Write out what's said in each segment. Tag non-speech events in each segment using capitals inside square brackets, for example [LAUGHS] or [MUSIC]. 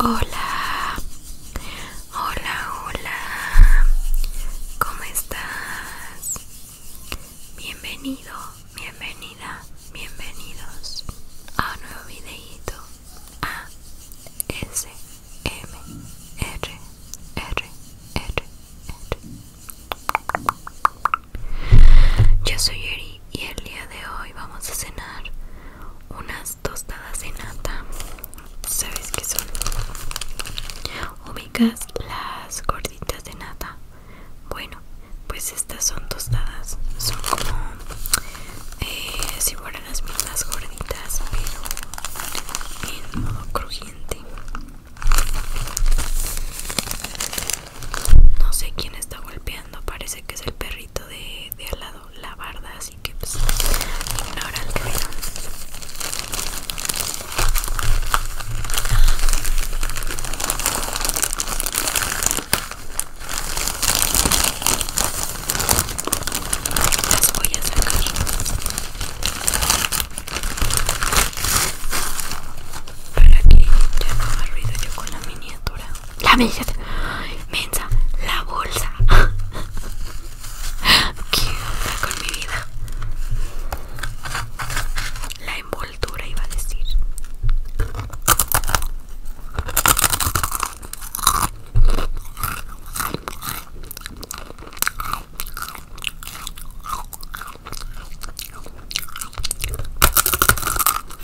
Hola, hola, hola, ¿cómo estás? Bienvenido, bienvenida, bienvenidos a un nuevo videito A S M R R R R Yo soy Eri y el día de hoy vamos a cenar unas tostadas de nata sabes que son ubicas las gorditas de nata bueno pues estas son tostadas son como eh, si fueran las mismas gorditas pero en modo crujiente no sé quién está golpeando parece que es el perrito de, al lado la barda así que pues, ignora el ruido las voy a sacar para que ya no haga ruido yo con la miniatura la mesa, Mensa, la bolsa. [LAUGHS] ¿Qué onda con mi vida? La envoltura iba a decir.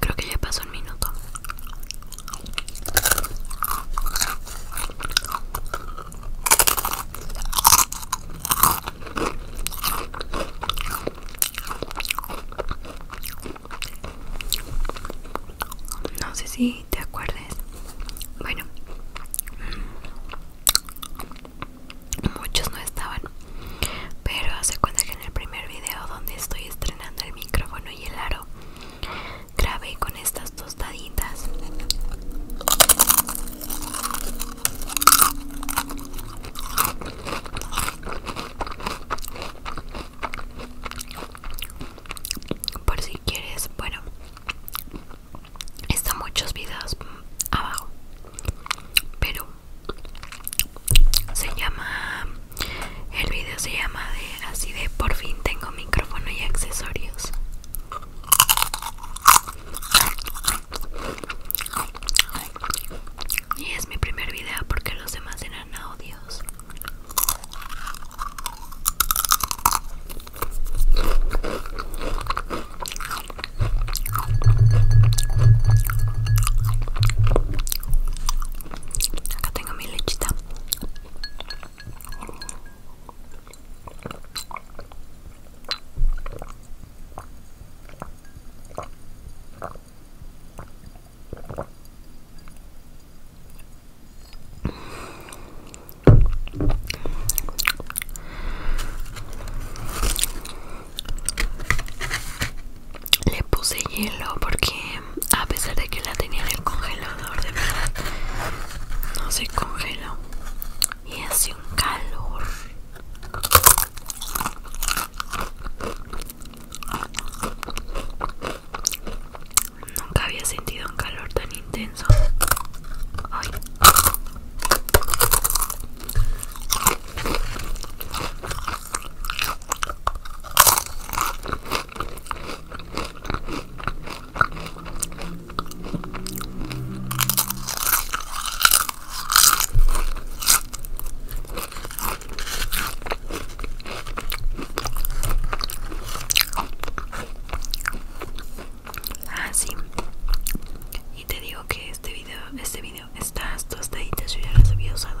Creo que ya pasó un minuto. No sé si te acuerdes. Bueno, muchos no estaban. Pero hace cuenta que en el primer video donde estoy estrenando el micrófono y el aro, grabé con estas tostaditas por si quieres bueno están muchos videos abajo pero se llama el video se llama de así de por fin tengo micrófono y accesorios y es mi primer video porque los demás en no, dios Acá tengo mi lechita. Le puse hielo porque a pesar de que la tenía en el congelador, de verdad, no se congeló. Y hace un calor. Nunca había sentido un calor tan intenso. Ah, sí. Y te digo que este video, este video, hasta hasta te ya los había usado.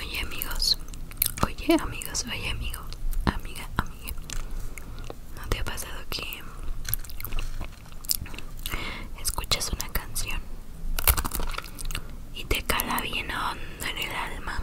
Oye amigos, oye amigos, oye amigo, amiga, amiga. ¿No te ha pasado que escuchas una canción y te cala bien hondo en el alma?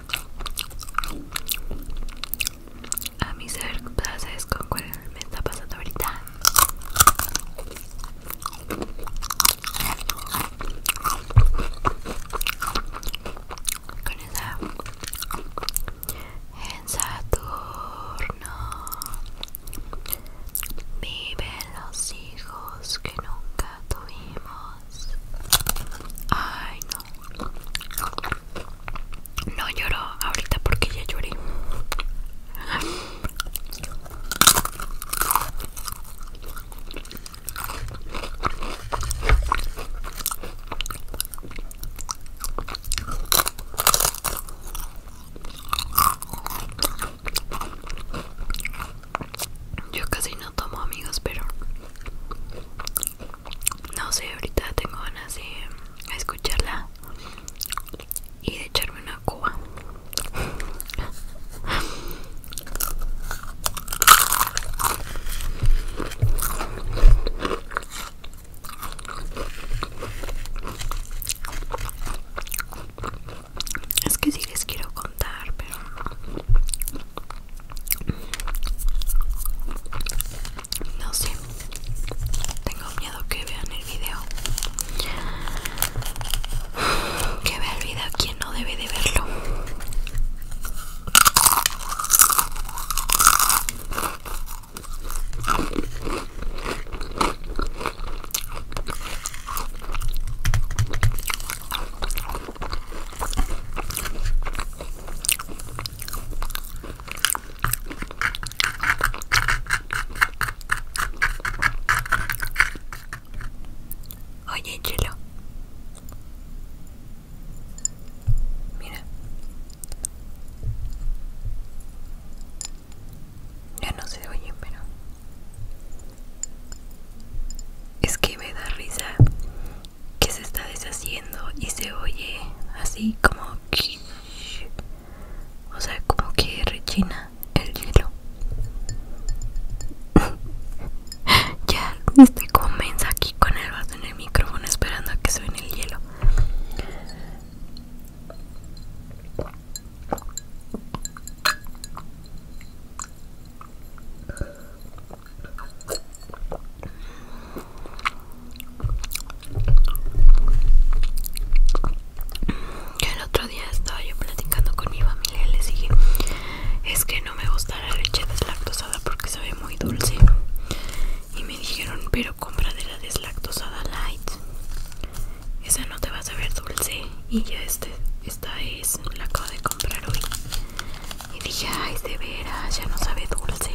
a mi ser places con cuál me está pasando ahorita con esa en Saturno viven los hijos que nunca tuvimos ay no no lloro ahorita porque ya lloré. Yo casi no tomo amigos, pero no sé, ahorita tengo ganas de escucharla y de echarme una cuba. Es que sí les quiero contar, pero no sé, tengo miedo que vean el video. Que vea el video quien no debe de verlo. Oye, Chelo. Mira. Ya no se oye, pero... Es que me da risa que se está deshaciendo y se oye así como o sea como que rechina el hielo [LAUGHS] ya estoy comienza aquí con el vaso en el micrófono esperando a que suene el hielo el otro día estaba yo platicando con mi familia y les dije, es que no me gusta la leche deslactosada porque sabe muy dulce. Y me dijeron, pero compra de la deslactosada light. Esa no te va a saber dulce. Y ya este, esta es, la acabo de comprar hoy. Y dije, ay, de veras, ya no sabe dulce.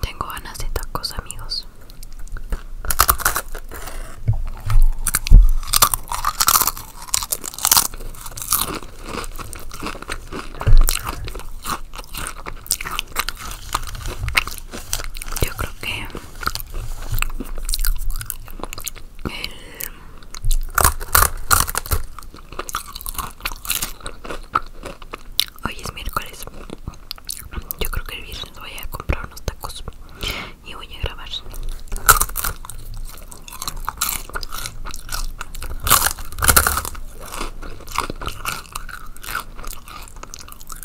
Tengo ganas de tacos, amigos. Yo creo que Hoy es miércoles. Yo creo que el viernes voy a comprar unos tacos y voy a grabar.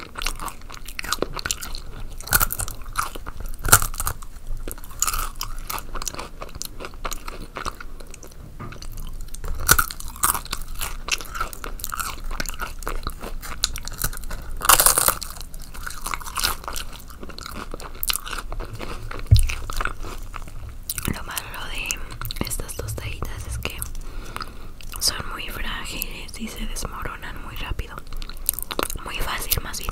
Lo malo de estas tostaditas es que son muy frágiles y se desmoronan muy rápido. Muy fácil más bien.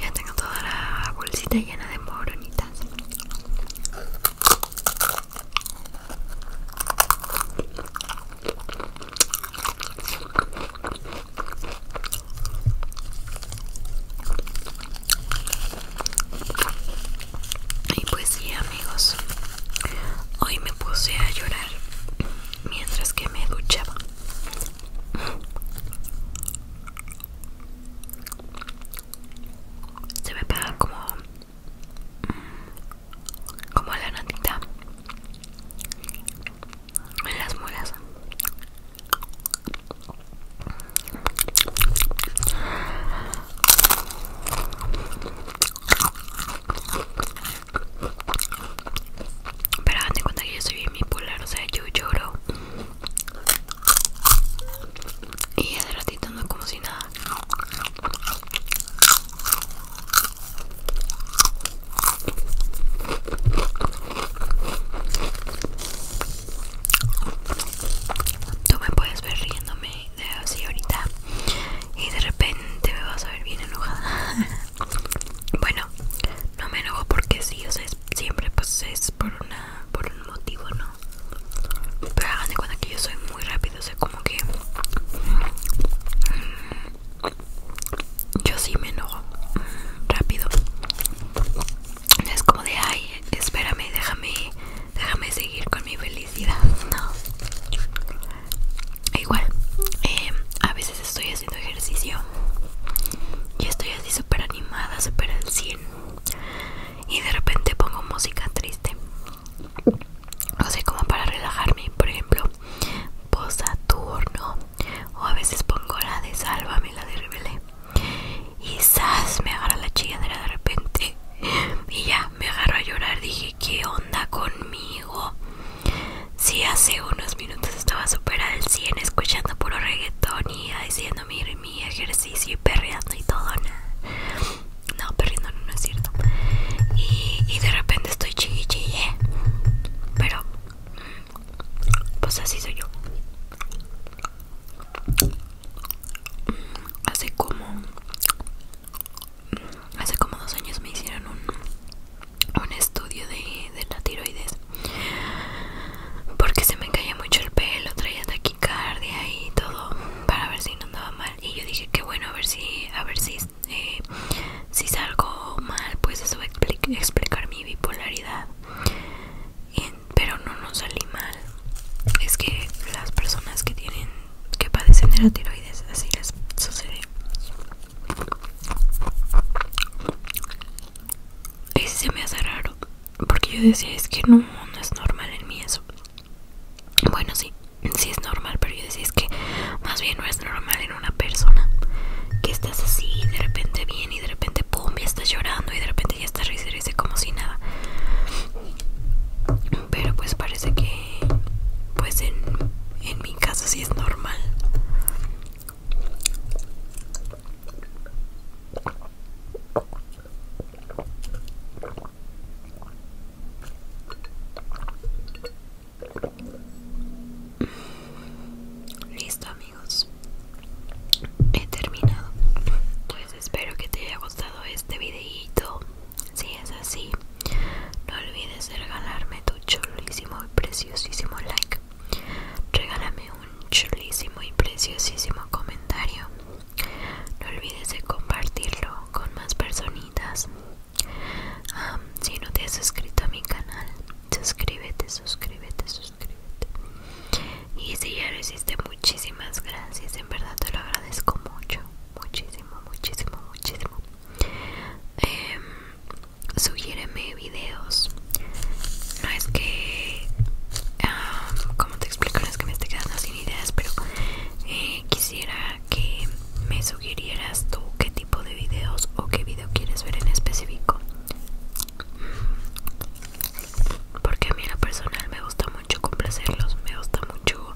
Ya tengo toda la bolsita llena de moronitas. Y pues sí amigos, hoy me puse a llorar mientras que me duchaba se me pega como mm, como la notita en las mulas pero hagan de cuenta que yo soy bien bipolar, o sea, yo lloro. Y de ratito no como si nada. Tú me puedes ver riéndome de así ahorita y de repente me vas a ver bien enojada. [LAUGHS] Bueno, no me enojo porque sí, o sea, siempre pues es por una por un motivo, ¿no? Pero hagan de cuenta que yo soy muy rápido, o sea, como que yo sí me enojo rápido. Es como de ay, espérame, déjame, déjame seguir con mi felicidad, [LAUGHS] no. Igual, eh, a veces estoy haciendo ejercicio y estoy así súper animada, súper al 100 y de repente pongo música triste no sé, como para relajarme por ejemplo Posaturno Saturno o a veces pongo la de Sálvame la de Rebelé y zas me agarra la chilladera de repente y ya me agarro a llorar dije qué onda conmigo si sí, hace unos minutos estaba súper al 100 escuchando puro reggaeton y haciendo mi, ejercicio y perreando y todo. No, perreando no, es cierto. Y, de repente estoy chiquille. Pero, mm, pues así soy yo. Hace como. Mm, hace como dos años me hicieron un un estudio de, la tiroides porque se me caía mucho el pelo, traía taquicardia y todo para ver si no andaba mal y yo dije que bueno a ver si a ver si eh, si salgo mal pues eso va a explicar mi bipolaridad pero no nos salí mal es que las personas que tienen que padecen de la tiroides así les sucede ese se me hace raro. Porque yo decía, es que no, no es normal en mí eso. Bueno, sí, sí es normal, pero yo decía, es que más bien no es normal en una persona. Que estás así, y de repente bien, y de repente, pum, ya estás llorando, y de repente ya estás risa, como si nada. Pero pues parece que, pues en, en mi caso sí es normal. Listo amigos, he terminado. Pues espero que te haya gustado este videito. Si es así, no olvides regalarme tu chulísimo y preciosísimo like Regálame un chulísimo y preciosísimo comentario. No olvides de compartirlo con más personitas. Ah, si no te has suscrito a mi canal, suscríbete, suscríbete, suscríbete. Y si ya lo hiciste, muchísimas gracias. En verdad te lo agradezco mucho. Muchísimo, muchísimo, muchísimo. Em, sugiéreme videos no es que como te explico no es que me esté quedando sin ideas pero eh, quisiera que me sugirieras tú qué tipo de videos o qué video quieres ver en específico porque a mí en lo personal me gusta mucho complacerlos me gusta mucho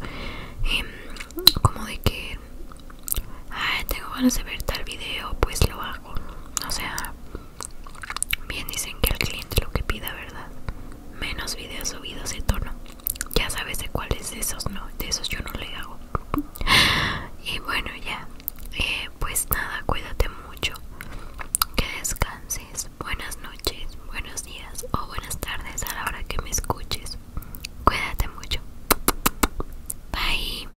em, como de que tengo ganas de ver tal video, pues lo hago. O sea, bien dicen que el cliente lo que pida, ¿verdad? Menos videos subidos de tono. Ya sabes de cuáles de esos no, de esos yo no le hago. Y bueno, ya. Eh, pues nada, cuídate mucho. Que descanses. Buenas noches, buenos días o buenas tardes a la hora que me escuches. Cuídate mucho. Bye.